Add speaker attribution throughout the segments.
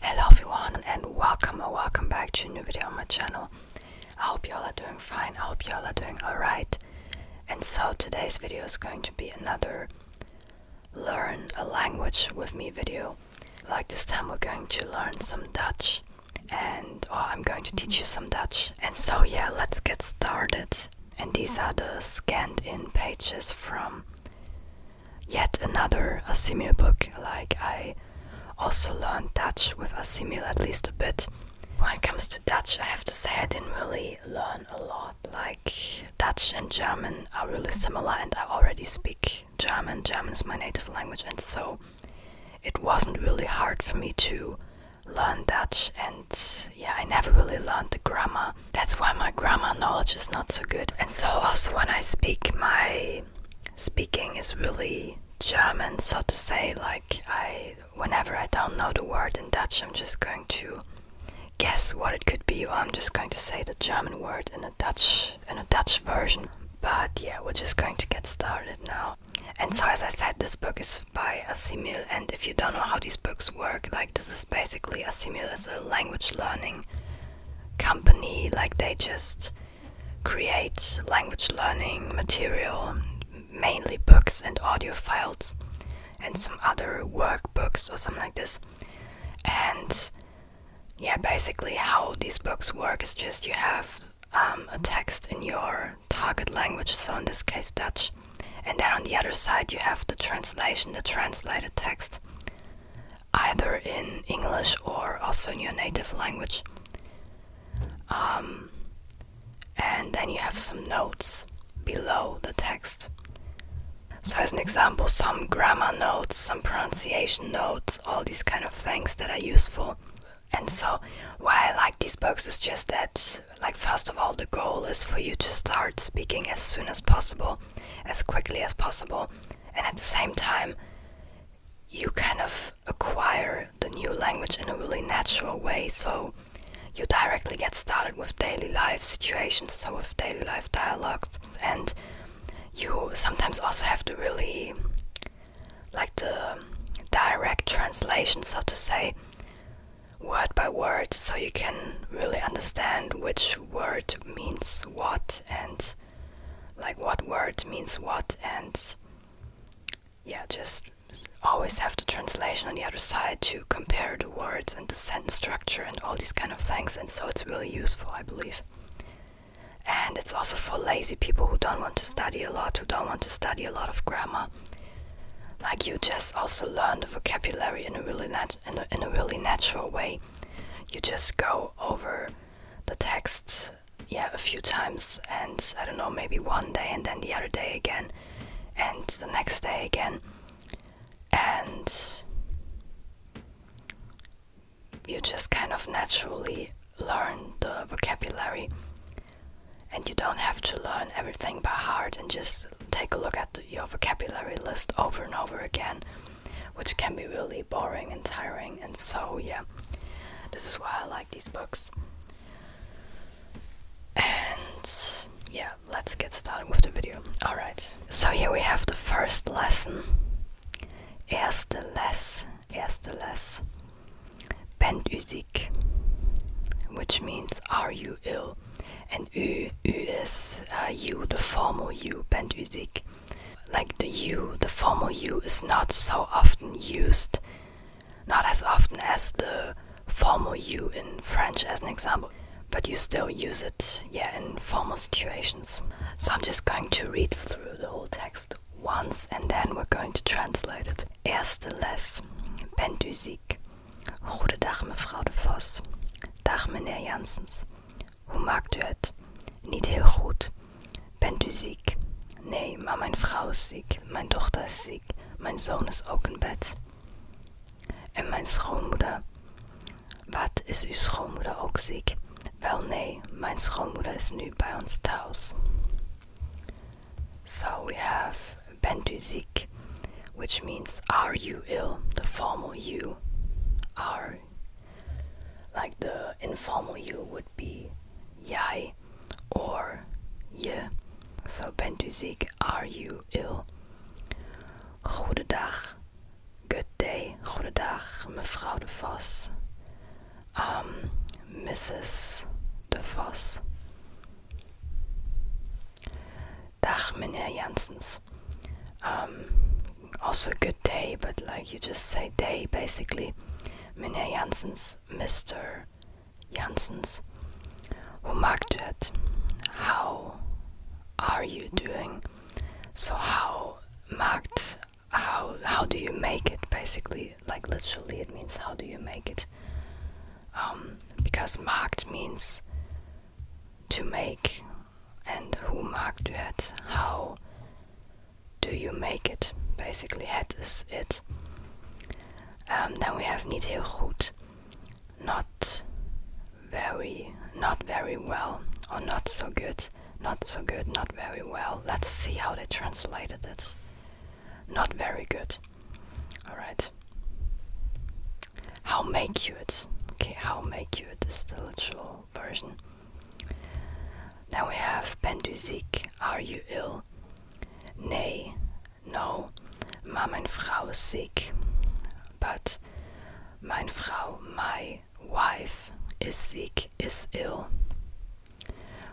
Speaker 1: Hello everyone and welcome or welcome back to a new video on my channel. I hope y'all are doing fine, I hope y'all are doing alright. And so today's video is going to be another learn a language with me video. Like this time we're going to learn some Dutch and I'm going to teach you some Dutch. And so yeah, let's get started. And these are the scanned in pages from yet another a Asimil book. Like I also learned Dutch with a Asimil at least a bit. When it comes to Dutch, I have to say I didn't really learn a lot. Like Dutch and German are really similar, and I already speak German. German is my native language, and so it wasn't really hard for me to learn Dutch. And yeah, I never really learned the grammar. That's why my grammar knowledge is not so good. And so, also, when I speak my speaking is really German, so to say. Like, I whenever I don't know the word in Dutch, I'm just going to guess what it could be, or I'm just going to say the German word in a Dutch in a Dutch version. But yeah, we're just going to get started now. And so, as I said, this book is by Asimil, and if you don't know how these books work, like this is basically Asimil is a language learning company like they just create language learning material mainly books and audio files and some other workbooks or something like this and yeah basically how these books work is just you have um, a text in your target language so in this case dutch and then on the other side you have the translation the translated text either in English or also in your native language. Um, and then you have some notes below the text. So, as an example, some grammar notes, some pronunciation notes, all these kind of things that are useful. And so, why I like these books is just that, like, first of all, the goal is for you to start speaking as soon as possible, as quickly as possible, and at the same time you kind of acquire the new language in a really natural way so you directly get started with daily life situations so with daily life dialogues and you sometimes also have to really like the direct translation so to say word by word so you can really understand which word means what and like what word means what and yeah just always have the translation on the other side to compare the words and the sentence structure and all these kind of things and so it's really useful i believe and it's also for lazy people who don't want to study a lot who don't want to study a lot of grammar like you just also learn the vocabulary in a really nat in a really natural way you just go over the text, yeah, a few times, and I don't know, maybe one day, and then the other day again, and the next day again, and you just kind of naturally learn the vocabulary. And you don't have to learn everything by heart and just take a look at your vocabulary list over and over again which can be really boring and tiring. And so, yeah, this is why I like these books. And yeah, let's get started with the video. Alright, so here we have the first lesson. Erste Les, Erste Les. Bandusik, which means are you ill? And U, U is uh, you, the formal you, Bandusik. Like the U, the formal U is not so often used, not as often as the formal U in French, as an example, but you still use it, yeah, in formal situations. So I'm just going to read through the whole text once and then we're going to translate it. Erste les, Bent Usik. Goedendag mevrouw de Vos. Dag meneer Janssens. Hoe maakt u het? Niet heel goed. Bent u ziek? Nee, maar mijn vrouw is ziek, mijn dochter is ziek, mijn zoon is ook in bed. En mijn schoonmoeder. Wat is uw schoonmoeder ook ziek? Wel nee, mijn schoonmoeder is nu bij ons thuis. So we have bent u ziek, which means are you ill, the formal you. Are like the informal you would be ja, or je. So bent ziek? Are you ill? Goedendag. Good day. Goedendag, mevrouw de Vos. Mrs. Um, de Vos. Dag meneer Janssens. Um, also good day, but like you just say day basically. Meneer Janssens, Mr. Janssens, hoe maakt u How are you doing? So how marked? how how do you make it basically like literally it means how do you make it um, because marked means to make and who marked you How do you make it? Basically, hat is it. Um, then we have niet heel goed, not very, not very well, or not so good, not so good, not very well. Let's see how they translated it. Not very good. All right. How make you it? Okay, how make you it is the literal version. Then we have Penduzik, Are You Ill? Nay, No, Mein Frau Sick, but Mein Frau, My Wife, is sick, is ill.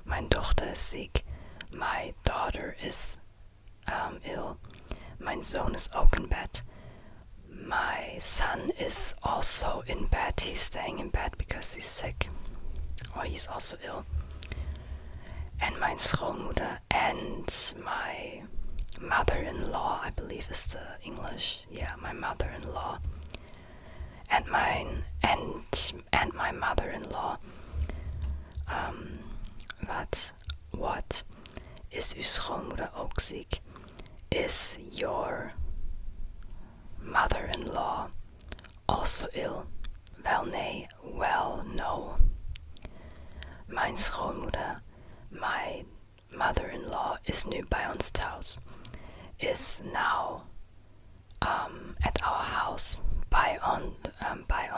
Speaker 1: Mein Tochter is sick, My daughter is um, ill. Mein Sohn is ook in bed. My son is also in bed. He's staying in bed because he's sick, or he's also ill. And my schoonmoeder and my mother-in-law, I believe is the English. Yeah, my mother-in-law and mine and and my mother-in-law. Um, wat, what? Is u's schoonmoeder ook ziek? Is your mother in law also ill? Well, nee, well no. Mijn schoonmoeder, my mother-in-law, is nu bij ons thuis. Is now um, at our house, by, um,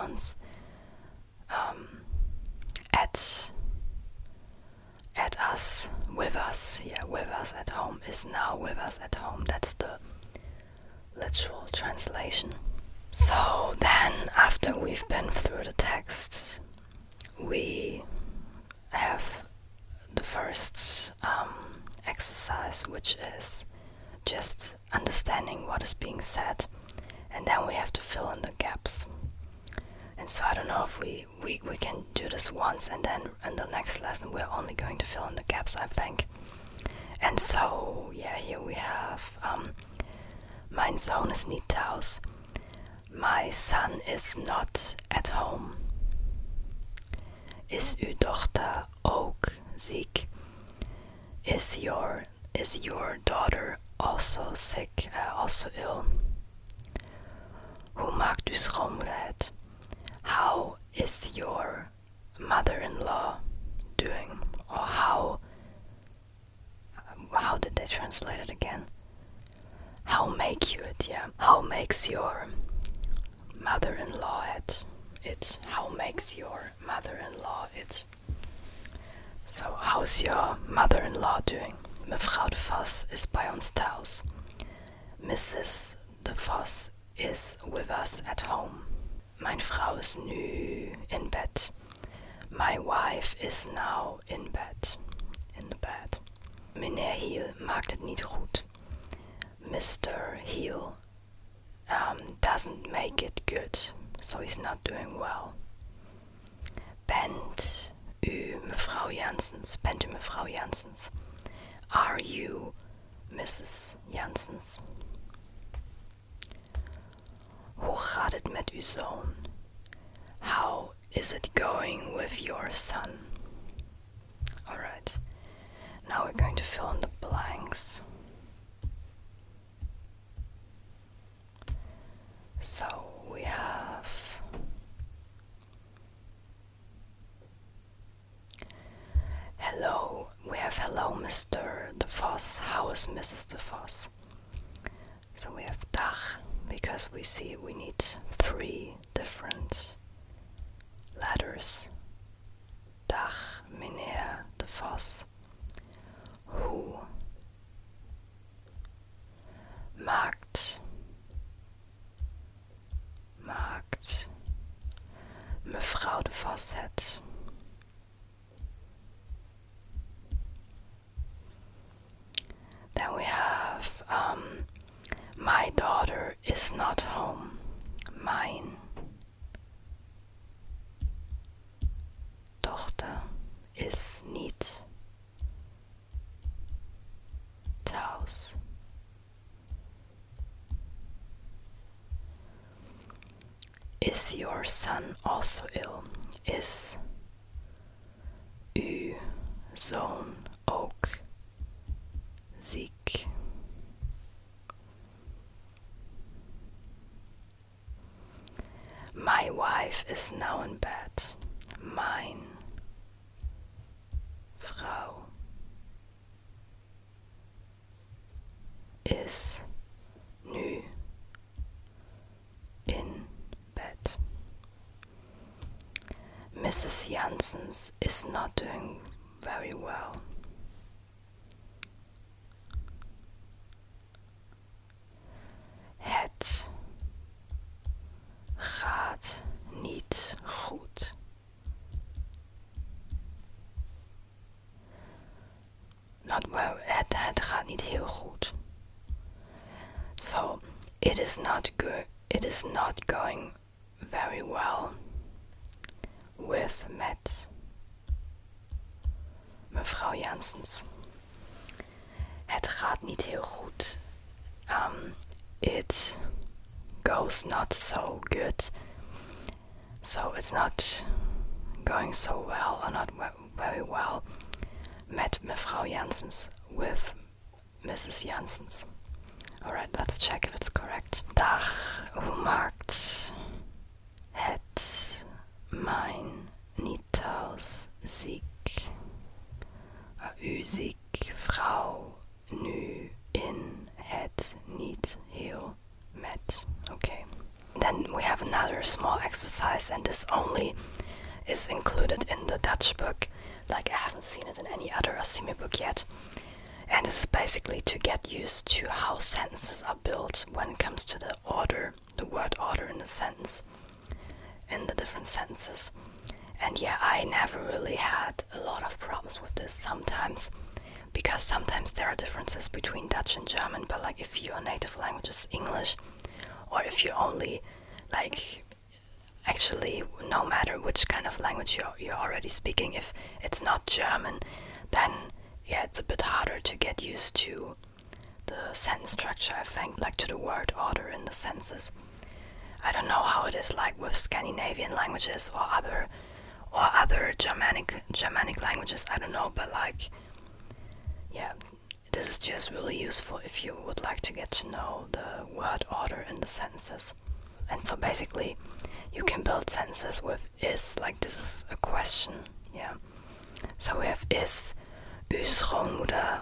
Speaker 1: ons. Um, at us, with us, yeah, with us at home is now with us at home. That's the literal translation. So then, after we've been through the text, we have the first um, exercise, which is just understanding what is being said, and then we have to fill in the gaps. And so I don't know if we we, we, can do this once and then in the next lesson we're only going to fill in the gaps, I think. And so, yeah, here we have Mein um, Sohn ist nicht aus. My son is not at home. Is your, daughter also sick, uh, also ill? Hoe maakt uw schoonmoeder How is your mother-in-law doing? Or how how did they translate it again? How make you it, yeah. How makes your mother-in-law it? It. How makes your mother-in-law it? So how's your mother-in-law doing? Mevrouw de Vos ist bei uns taus. Mrs. de Vos is with us at home. Mein Frau ist nü in Bett. My wife is now in bed. In the bed. Meneer Hiel mag het niet goed. Mr. Hiel um, doesn't make it good, so he's not doing well. Bent u Janssens? Bent u mevrouw Janssens? Are you Mrs. Janssens? Hoe gaat het met uw How is it going with your son? Alright, now we're going to fill in the blanks. So we have Hello, we have hello, Mr. De Foss. How is Mrs. De Foss? So we have Dach because we see we need three different letters. Dach, Meneer, De Foss. Who, Markt, Markt, Frau de Vosset. Then we have um, My daughter is not home. Mine. Tochter is nicht house. Is your son also ill? Is U zone oak Zeke? My wife is now in bed. Mein Frau is nu in bed. Mrs. Janssens is not doing very well. Het gaat niet goed. Not well, het, het gaat niet heel goed. So, it is not good. It is not going very well with met Mevrouw Janssens. Het gaat niet heel goed. Um, it goes not so good. So it's not going so well or not very well. Met Mevrouw Janssens with Mrs. Janssens. Alright, let's check if it's correct. Dag, hoe maakt het mijn Nitaus, Sieg, Usig, vrouw, nu, in, het, niet, heel, met. Okay. Then we have another small exercise, and this only is included in the Dutch book. Like, I haven't seen it in any other Asimi book yet. And this is basically to get used to how sentences are built when it comes to the order the word order in the sentence, in the different senses, And yeah, I never really had a lot of problems with this sometimes because sometimes there are differences between Dutch and German, but like if your native language is English or if you only like actually no matter which kind of language you're, you're already speaking if it's not german then yeah it's a bit harder to get used to the sentence structure, I think, like to the word order in the sentences. I don't know how it is like with Scandinavian languages or other or other Germanic Germanic languages. I don't know, but like, yeah, this is just really useful if you would like to get to know the word order in the sentences. And so basically, you can build sentences with is. Like this is a question, yeah. So we have is, Üsrung oder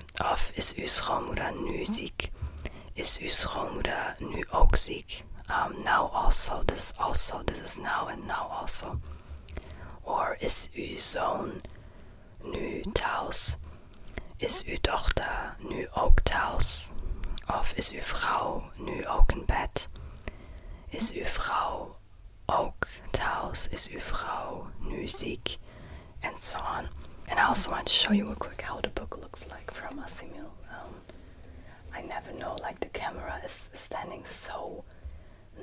Speaker 1: Of af is uw schoonmoeder nu ziek? Is uw schoonmoeder nu ook ziek? Um, now also, this is also, this is now and now also. Or is uw zoon nu thuis? Is uw dochter nu ook thuis? Of is uw vrouw nu ook in bed? Is uw vrouw ook thuis? Is uw vrouw nu ziek? and so on. And I also want to show you a quick how the book looks like from Asimil. Um, I never know, like the camera is standing so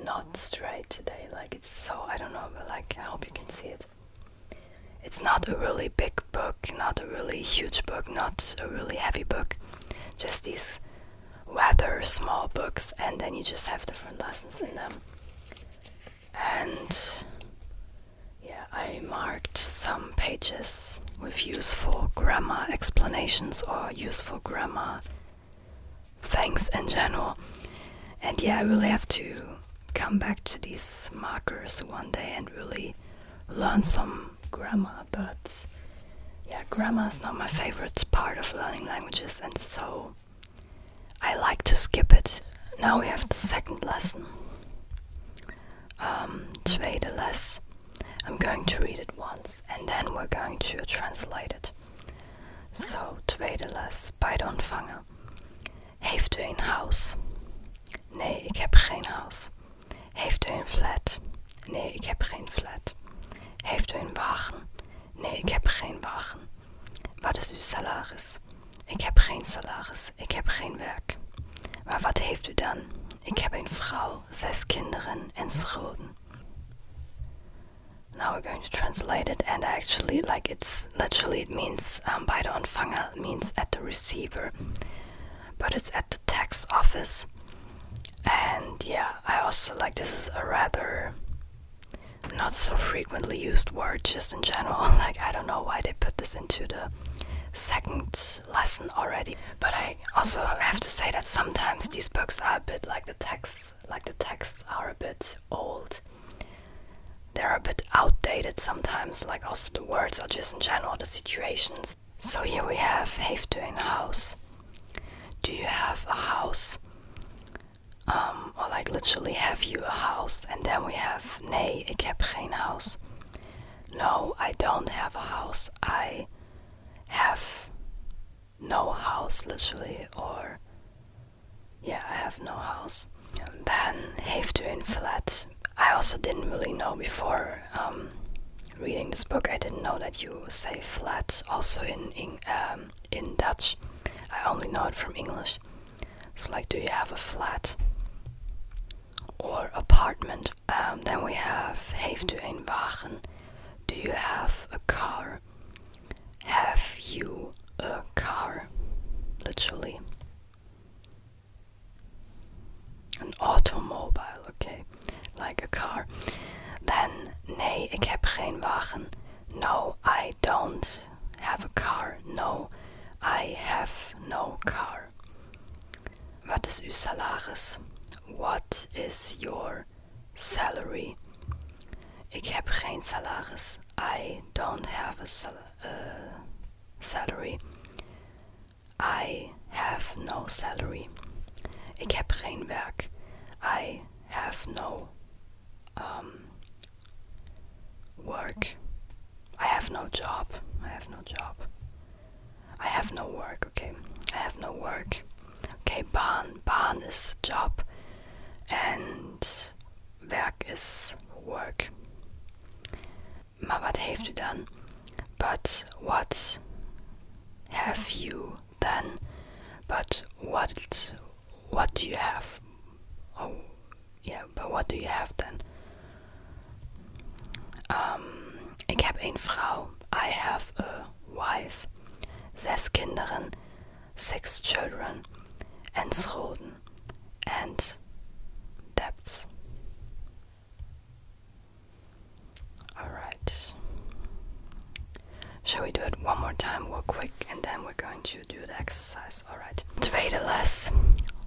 Speaker 1: not straight today. Like it's so, I don't know, but like I hope you can see it. It's not a really big book, not a really huge book, not a really heavy book. Just these rather small books and then you just have different lessons in them and yeah, I marked some pages with useful grammar explanations or useful grammar things in general. And yeah, I will have to come back to these markers one day and really learn some grammar, but yeah, grammar is not my favorite part of learning languages, and so I like to skip it. Now we have the second lesson. Um, tweede les. I'm going to read it once and then we're going to translate it. Zo, tweede les bij de ontvanger. Heeft u een huis? Nee, ik heb geen huis. Heeft u een flat? Nee, ik heb geen flat. Heeft u een wagen? Nee, ik heb geen wagen. Wat is uw salaris? Ik heb geen salaris, ik heb geen werk. Maar wat heeft u dan? Ik heb een vrouw, zes kinderen en schulden. Now we're going to translate it, and actually, like it's literally, it means um, by the ontvanger means at the receiver, but it's at the tax office. And yeah, I also like this is a rather not so frequently used word just in general. Like, I don't know why they put this into the second lesson already. But I also have to say that sometimes these books are a bit like the texts, like the texts are a bit old. They're a bit outdated sometimes, like also the words are just in general the situations. So here we have Heeft u een house? Do you have a house? Um, or like literally have you a house and then we have nee ik heb geen house no i don't have a house i have no house literally or yeah i have no house and then heeft u een flat i also didn't really know before um, reading this book i didn't know that you say flat also in in, um, in dutch i only know it from english it's like, do you have a flat or apartment? Um, then we have, heeft u een wagen? Do you have a car? Have you a car? Literally. An automobile, okay. Like a car. Then, nee, ik heb geen wagen. No, I don't have a car. No, I have no car. Wat is uw salaris? What is your salary? Ik heb geen salaris. I don't have a sal uh, salary. I have no salary. Ik heb geen werk. I have no um, work. I have no job. I have no job. I have no work, okay. I have no work. Okay, Bahn. Bahn is job and werk is work. Maar wat heeft u dan? But what have you then? But what what do you have? Oh, yeah. but what do you have then? Um, ik heb een I have a wife. Zes kinderen. Six children. En schulden. And debts. Alright. Shall we do it one more time, real quick, and then we're going to do the exercise. Alright. Tweede les,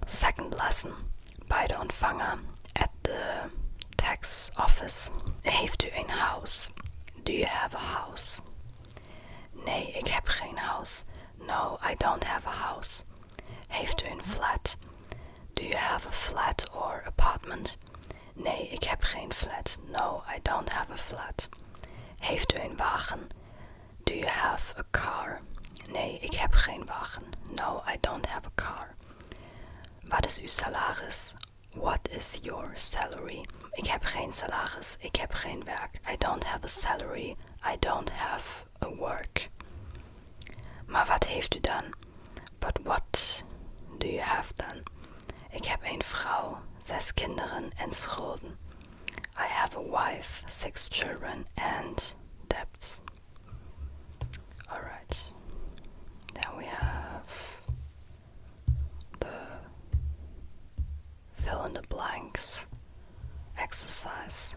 Speaker 1: second lesson, bij de ontvanger at the tax office. Heeft u een huis? Do you have a house? Nee, ik heb geen huis. No, I don't have a house. Heeft u een flat? Do you have a flat or apartment? Nee, ik heb geen flat. No, I don't have a flat. Heeft u een wagen? Do you have a car? Nee, ik heb geen wagen. No, I don't have a car. Wat is uw salaris? What is your salary? Ik heb geen salaris. Ik heb geen werk. I don't have a salary. I don't have a work. Maar wat heeft u dan? But what do you have then? Ik heb een vrouw, zes kinderen en scholen. I have a wife, six children, and debts. Alright, then we have the fill in the blanks exercise.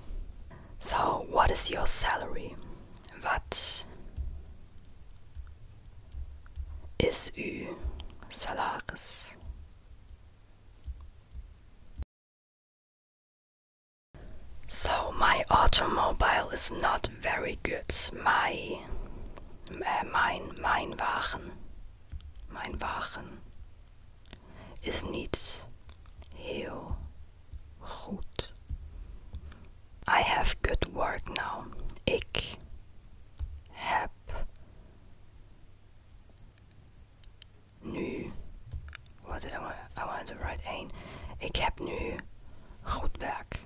Speaker 1: So, what is your salary? What is uw salaris? So my automobile is not very good. My äh, mein mein Wagen. Mein Wagen is niet heel goed. I have good work now. Ik heb nu. wat did I want? I wanted to write 1. Ik heb nu goed werk.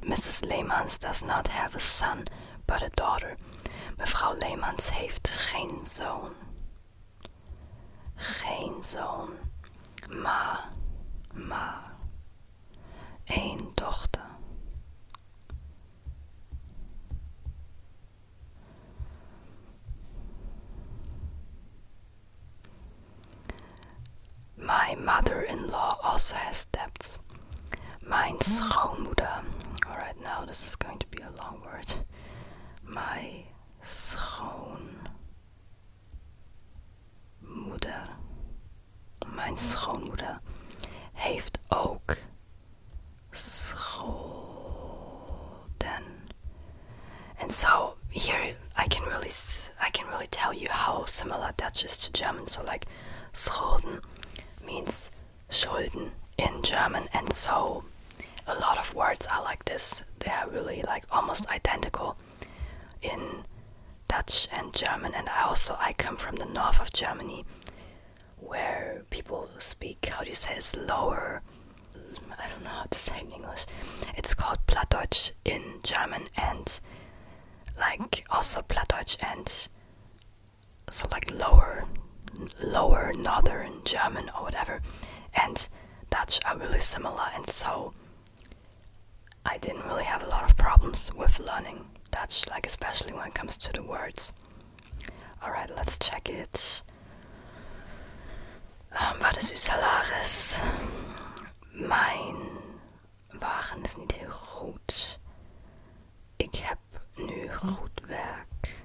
Speaker 1: Mrs. Leemans does not have a son, but a daughter. Mevrouw Leemans heeft geen zoon. Geen zoon, maar, maar, een dochter. My mother-in-law also has debts. Mijn hmm. schoonmoeder. Alright, now this is going to be a long word. My schoonmoeder Mijn schoonmoeder heeft ook And so here I can really I can really tell you how similar Dutch is to German. So like Schulden means Schulden in German, and so a lot of words are like this. They are really like almost identical in Dutch and German, and I also I come from the north of Germany, where people speak how do you say it's lower. I don't know how to say in English. It's called Plattdeutsch in German, and like also Plattdeutsch and so like lower, lower northern German or whatever, and Dutch are really similar, and so I didn't really have a lot of problems with learning Dutch, like especially when it comes to the words. Alright, let's check it. Um, wat is uw salaris? Mijn wagen is niet heel goed. Ik heb nu goed werk.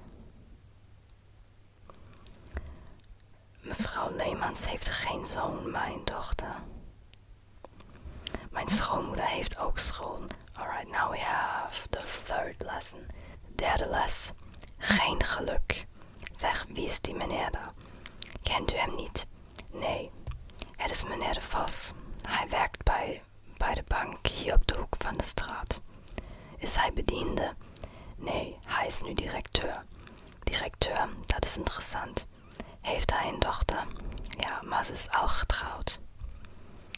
Speaker 1: Mevrouw Leemans heeft geen zoon, mijn dochter. Mijn schoonmoeder heeft ook school. Alright, now we have the third lesson. Derde les. Geen geluk. Zeg, wie is die meneer daar? Kent u hem niet? Nee, het is meneer Vos. Hij werkt bij, bij de bank hier op de hoek van de straat. Is hij bediende? Nee, hij is nu directeur. Directeur, dat is interessant. heeft hij een dochter. Ja, Mas ze is al getrouwd.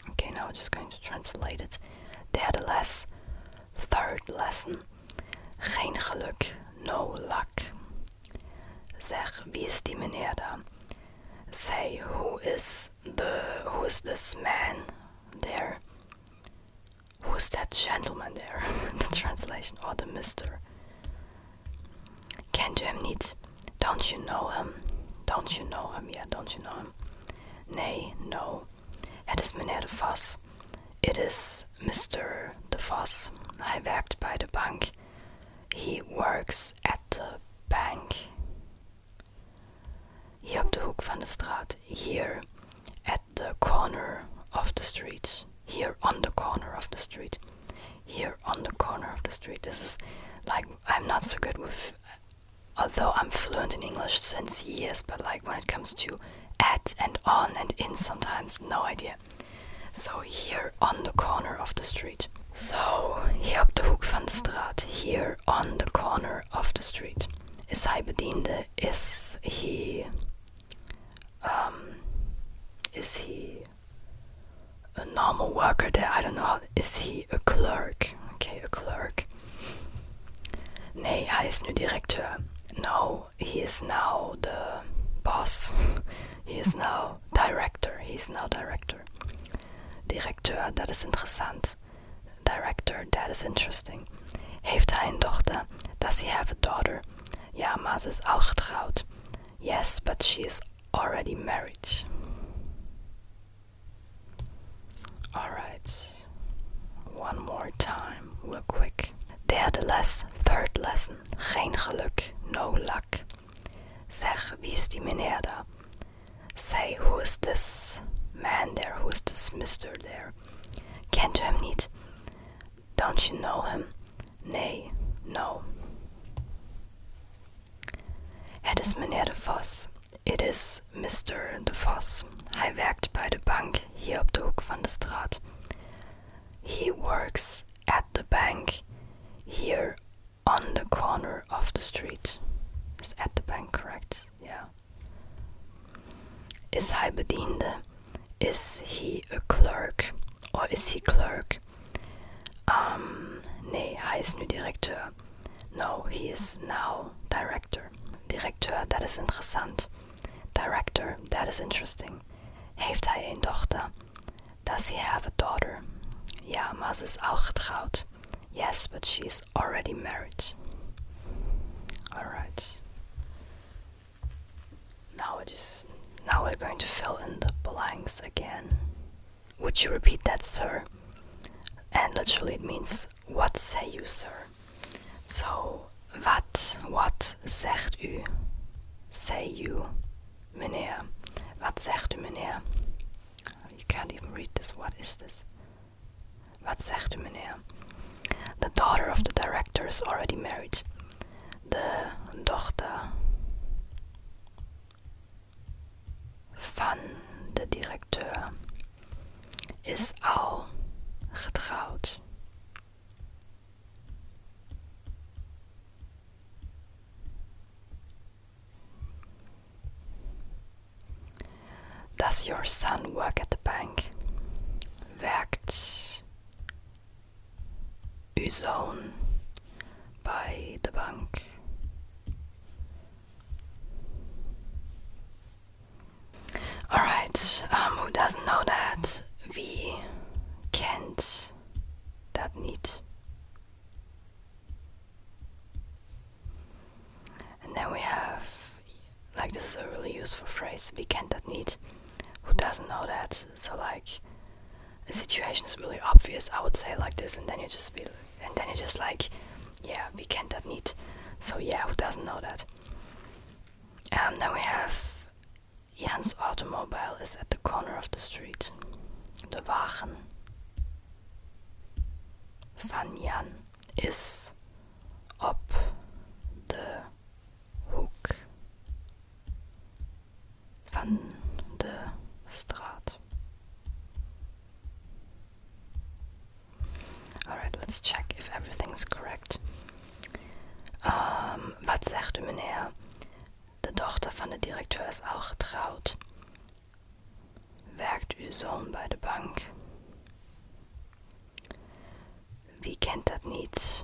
Speaker 1: Okay, now I'm just going to translate it. Derde les. Third lesson. Geen geluk. No luck. Zeg, wie is die meneer daar? Say, who is the who is this man there? Who's that gentleman there? the translation or the mister. Can't you niet? Don't you know him? Don't you know him? Yeah, don't you know him? Nee, no. Het is Mr. meneer de Vos. It is Mr. de Vos. Hij werkt by the bank. He works at the bank. Hier op the hook van de straat. Here at the corner of the street. Here on the corner of the street. Here on the corner of the street. This is like I'm not so good with, although I'm fluent in English since years, but like when it comes to at and on and in, sometimes no idea. So here on the corner of the street. So hier op de hoek van de straat. Here on the corner of the street. Is hij bediende? Is he? Um, is he? a normal worker there. I don't know. Is he a clerk? Okay, a clerk. Nee, he is nu director. No, he is now the boss. he is now director. He is now director. Director. that is interesting. Director, that is interesting. Heeft hij a daughter? Does he have a daughter? Ja, maar is ook getrouwd. Yes, but she is already married. Alright, one more time, real quick. Derde les, third lesson. Geen geluk, no luck. Say, who is this man there? Who is this mister there? Kent u hem niet? Don't you know him? Nay, no. Het is meneer de Vos. It is Mr. de Vos. Hij werkt bij de bank hier op de hoek van de straat. He works at the bank here on the corner of the street. Is at the bank correct? Yeah. Is hij bediende? Is he a clerk? Or is he clerk? Um, nee, er hij is nu directeur. No, he is now director. Director, that is interesting. Director, that is interesting. Heeft hij een dochter? Does he have a daughter? Ja, maar is ook getrouwd. Yes, but she is already married. Alright. Now, we just, now we're going to fill in the blanks again. Would you repeat that, sir? And literally it means, what say you, sir? So, wat, what zegt u? Say you, meneer. Wat zegt u, meneer? You can't even read this. What is this? Wat zegt u, meneer? The daughter of the director is already married. The dochter van de directeur is al getrouwd. Does your son work at the bank? Werkt uw zoon by the bank. Alright, um, who doesn't know that? We can't that need. And then we have, like, this is a really useful phrase, we can't that need. Who doesn't know that? So, like, situation is really obvious, I would say like this, and then you just feel, and then you just like, yeah, we can't that need. So yeah, who doesn't know that? Um, then we have Jan's automobile is at the corner of the street. The Wagen van Jan is op the hook Van de Straat. Alright, let's check if everything's correct. Um, ähm, wat zegt u meneer? De dochter van de directeur is al getrouwd. Werkt uw zoon bij de bank? Wie kent dat niet?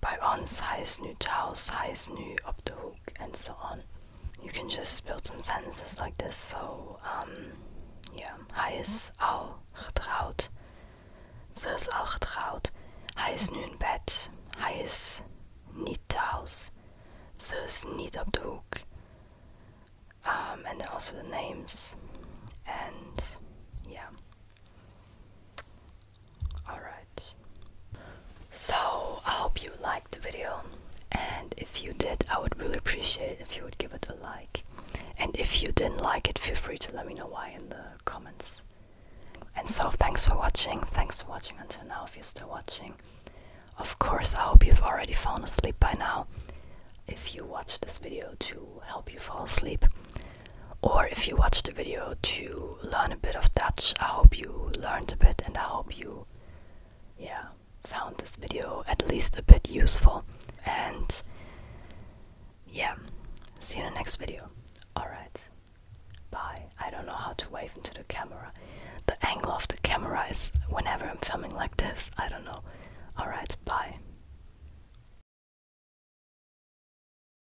Speaker 1: by on size new tau size new up the hook, and so on. You can just build some sentences like this. So, um, yeah, hij is al getrouwd. Ze is al getrouwd. is nu in bed. Hij is niet thuis. Ze is niet op de Um, and then also the names. And yeah. Alright. So, I hope you liked the video. And if you did, I would really appreciate it if you would give it a like. And if you didn't like it, feel free to let me know why in the comments. And so, thanks for watching. Thanks for watching until now if you're still watching. Of course, I hope you've already fallen asleep by now. If you watched this video to help you fall asleep, or if you watched the video to learn a bit of Dutch. I hope you learned a bit and I hope you yeah found this video at least a bit useful and yeah see you in the next video alright bye I don't know how to wave into the camera the angle of the camera is whenever I'm filming like this I don't know alright bye